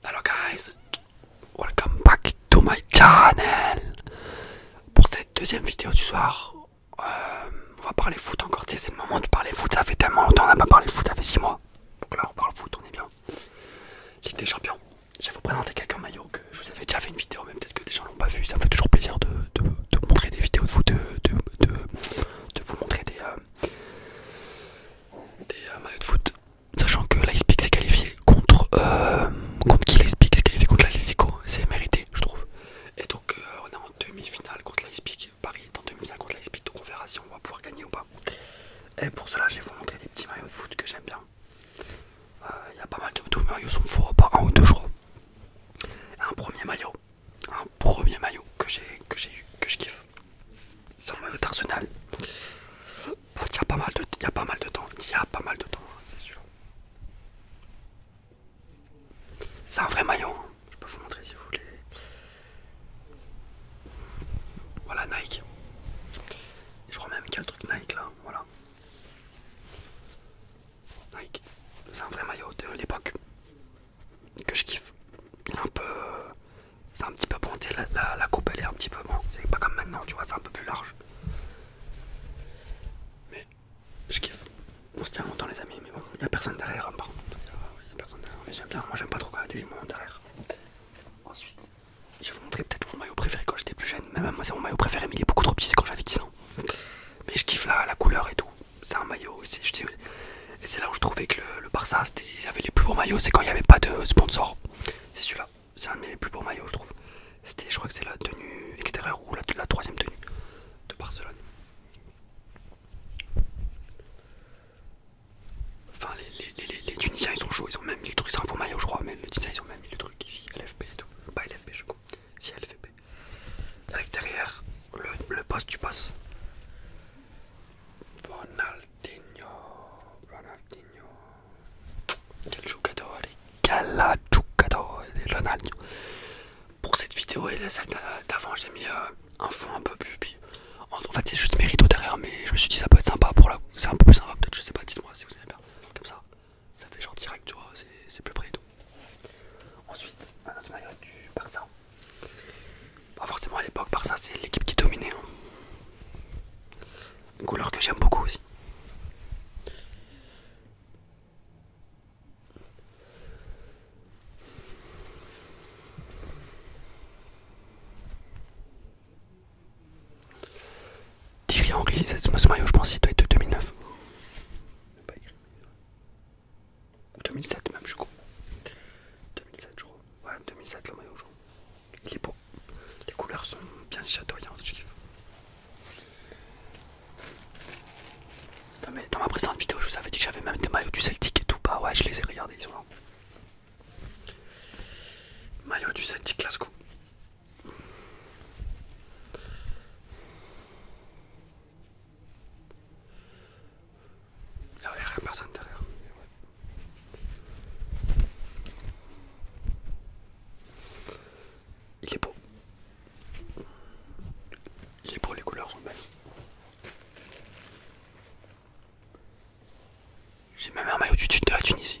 Hello guys, welcome back to my channel. Pour cette deuxième vidéo du soir, euh, on va parler foot encore. c'est le moment de parler foot. Ça fait tellement longtemps on n'a pas parlé foot, ça fait 6 mois. Donc là, on parle foot, on est bien. Ligue des champions. Je vais vous présenter quelques maillots que je vous avais déjà fait une vidéo, mais peut-être que des gens l'ont pas vu. Ça me fait toujours plaisir de, vous montrer des vidéos de foot, de, vous montrer des, euh, euh, maillots de foot. Sachant que l'Icepeak s'est qualifié contre. Euh, contre qui l'Icepeak s'est qualifié contre l'Atletico C'est mérité, je trouve. Et donc, euh, on est en demi-finale contre l'Icepeak. Paris est en demi-finale contre l'Icepeak, donc on verra si on va pouvoir gagner ou pas. Et pour cela, je vais vous montrer des petits maillots de foot que j'aime bien. Euh, il y a pas mal de tous mais maillots, sont faux, pas un ou deux, jours. Un premier maillot, un premier maillot que j'ai eu, que je kiffe. C'est le maillot d'Arsenal. il y a pas mal de, a pas mal de temps, il a pas mal de temps, hein, c'est un vrai maillot, hein. je peux vous montrer si vous voulez. Voilà Nike. Je crois même qu'il y a le truc Nike là, voilà. Nike, c'est un vrai maillot de l'époque que je kiffe. un peu. C'est un petit peu bon, la, coupe elle est un petit peu bon. C'est pas comme maintenant, tu vois, c'est un peu plus large. Mais je kiffe. On se tient longtemps, les amis, mais bon, il n'y a personne derrière, hein, par Il n'y a, personne derrière, mais j'aime bien. Moi, j'aime pas trop quand il y a des gens derrière. Ensuite, je vais vous montrer peut-être mon maillot préféré quand j'étais plus jeune. Même moi, c'est mon maillot préféré, mais il est beaucoup trop petit, c'est quand j'avais 10 ans. Mais je kiffe la couleur et tout c'est un maillot ici Je dis, et c'est là où je trouvais que le, le Barça, ils avaient les plus beaux maillots, c'est quand il n'y avait pas de sponsor. C'est celui-là, c'est un de mes plus beaux maillots, je trouve. C'était, je crois que c'est la tenue extérieure ou la, troisième tenue de Barcelone. Enfin, les, les, les, Tunisiens ils sont chauds, ils ont même mis le truc, c'est un faux maillot, je crois, mais les Tunisiens ils ont même mis le truc ici, LFP et tout. Pas LFP, je crois, si LFP. Avec derrière le, le poste, tu passes. Ronaldinho, Ronaldinho. Quel giocatore, quel giocatore Ronaldinho. Pour cette vidéo et celle d'avant, j'ai mis euh, un fond un peu plus. en fait, c'est juste mes rideaux derrière, mais je me suis dit ça peut être sympa pour la. C'est un peu plus sympa, peut-être, je sais pas, dites-moi si vous aimez bien. Comme ça, ça fait genre direct, tu vois, c'est plus près et tout. Ensuite, un autre maillot du Barça. Pas forcément à l'époque, Barça c'est l'équipe qui dominait. Hein. Une couleur que j'aime beaucoup aussi. Thierry Henry, ce maillot je pense qu'il doit être de 2009. 2007 même je crois. 2007 je Ouais 2007 le maillot jaune. Il est beau. Les couleurs sont bien chatoyantes, Dans, ma précédente vidéo je vous avais dit que j'avais même des maillots du Celtic et tout. Bah ouais je les ai regardés, ils sont là. Maillot du Celtic Glasgow. Il est beau. Il est beau, les couleurs sont belles. J'ai même un maillot de la Tunisie.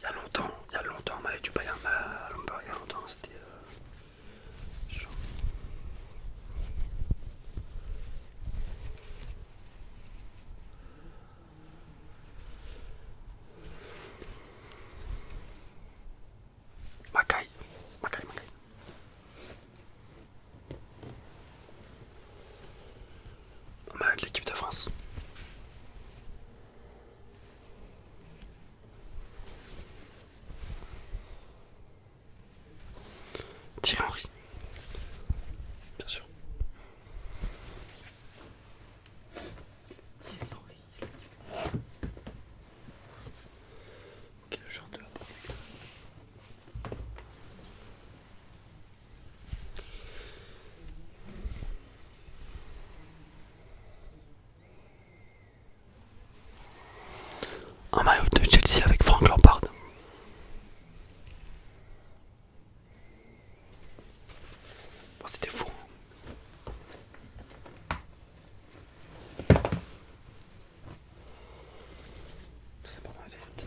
Il y a longtemps, il y a longtemps, on m'avait du il y a longtemps, c'était. Euh, on a l'équipe de France. Thierry Henry, bien sûr. Thierry Henry. je genre de rapport un maillot de Chelsea avec Frank Lampard. Bon, C'était fou. C'est pas mal de foot.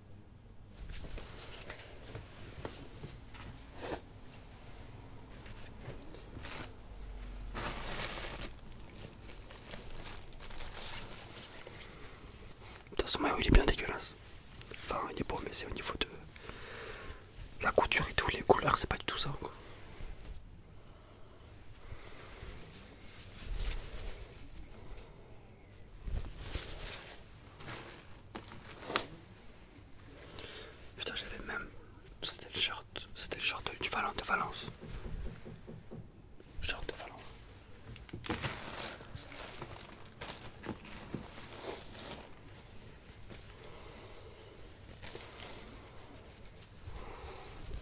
De toute façon, il est bien dégueulasse. Enfin, il est beau, mais c'est au niveau de la couture et tous les couleurs, c'est pas du tout ça Putain, j'avais même. C'était le short. C'était le short De Valence. Short de Valence.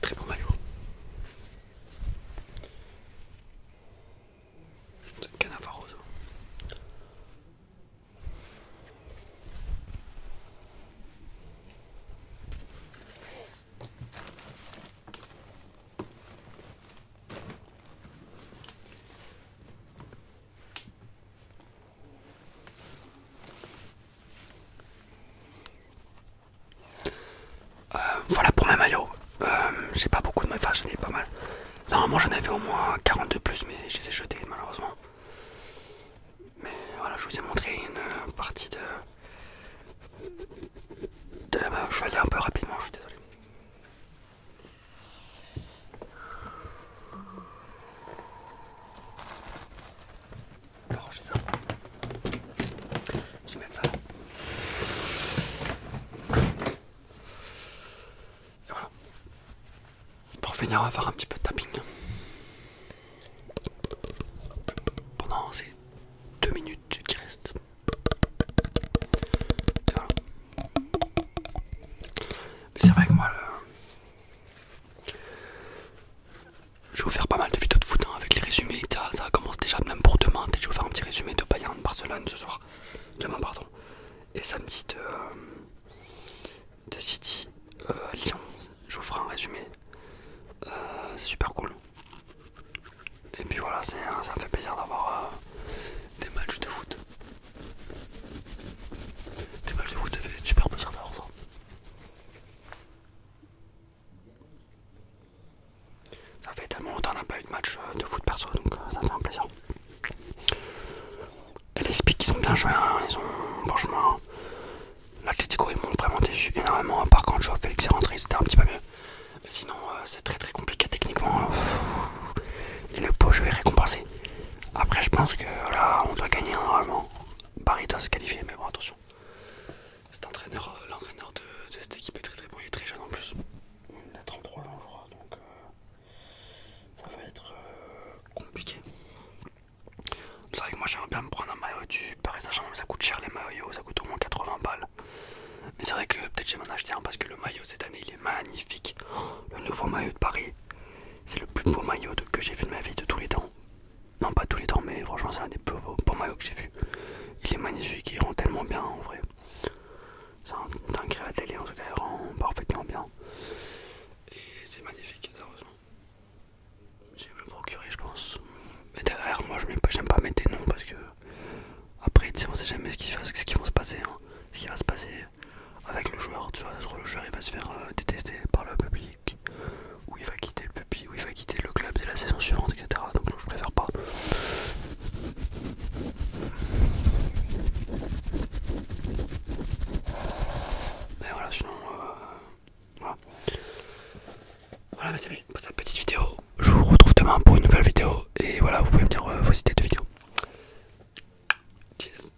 Très bon maillot. C'est rose. Euh, voilà pour mes maillots. Euh, j'ai pas beaucoup de maillots, j'en ai pas mal. Normalement j'en avais au moins 42 plus, mais je les ai jetés malheureusement. Mais voilà, je vous ai montré une euh, partie de. je vais aller un peu rapidement, je suis désolé. On va ranger ça. Je vais mettre ça là. Et voilà. Pour finir, on va faire un petit peu de tapping. Pendant ces deux minutes qui restent. Et voilà. Mais c'est vrai que moi, le... Je vais vous faire pas mal de vidéos de foot hein, avec les résumés. Ça, commence déjà même pour demain. Je vais vous faire un petit résumé de Bayern Barcelone ce soir. Demain, pardon. Et samedi de, euh, City euh, Lyon. Je vous ferai un résumé. Euh, c'est super cool. Et puis voilà, hein, ça me fait plaisir d'avoir des matchs de foot. Des matchs de foot, ça fait super plaisir d'avoir ça. Ça fait tellement longtemps qu'on n'a pas eu de match euh, de foot perso, donc euh, ça fait un plaisir. Et les Speaks, ils sont bien joué, hein. ils ont franchement. L'Atletico, ils m'ont vraiment déçu énormément. Par contre, Joao Félix est rentré, c'était un petit peu mieux. Mais sinon, euh, c'est très très compliqué techniquement. Hein. Et le beau jeu est récompensé. Après, je pense que là, on doit gagner hein, normalement. Paris doit se qualifier, mais bon, attention. Cet entraîneur, euh, l'entraîneur de, cette équipe est très très bon, il est très jeune en plus. Il a 33 ans je crois, donc euh, ça va être euh, compliqué. C'est vrai que moi j'aimerais bien me prendre un maillot du Paris Saint-Germain, mais ça coûte cher les maillots, ça coûte au moins 80 balles. Mais c'est vrai que peut-être j'aimerais m'en acheter un parce que le maillot cette année il est magnifique. Le nouveau maillot de Paris, c'est le plus beau maillot que j'ai vu de ma vie de tous les temps. Non, pas tous les temps, mais franchement, c'est l'un des plus beaux, maillots que j'ai vu. Il est magnifique, il rend tellement bien en vrai. C'est un, la télé en tout cas, il rend parfaitement bien. Et c'est magnifique, heureusement. J'ai même procuré, je pense. Mais derrière, moi, j'aime pas, mettre des noms parce que. Après, tu sais, on sait jamais ce qui se passer. Ce qui va se passer. Hein avec le joueur, tu vois, le joueur il va se faire euh, détester par le public, ou il va quitter le pub ou il va quitter le club dès la saison suivante, etc. Donc je préfère pas. Mais voilà, sinon, euh, voilà. Voilà, c'est salut pour cette petite vidéo, je vous retrouve demain pour une nouvelle vidéo, et voilà, vous pouvez me dire euh, vos idées de vidéo. Cheers.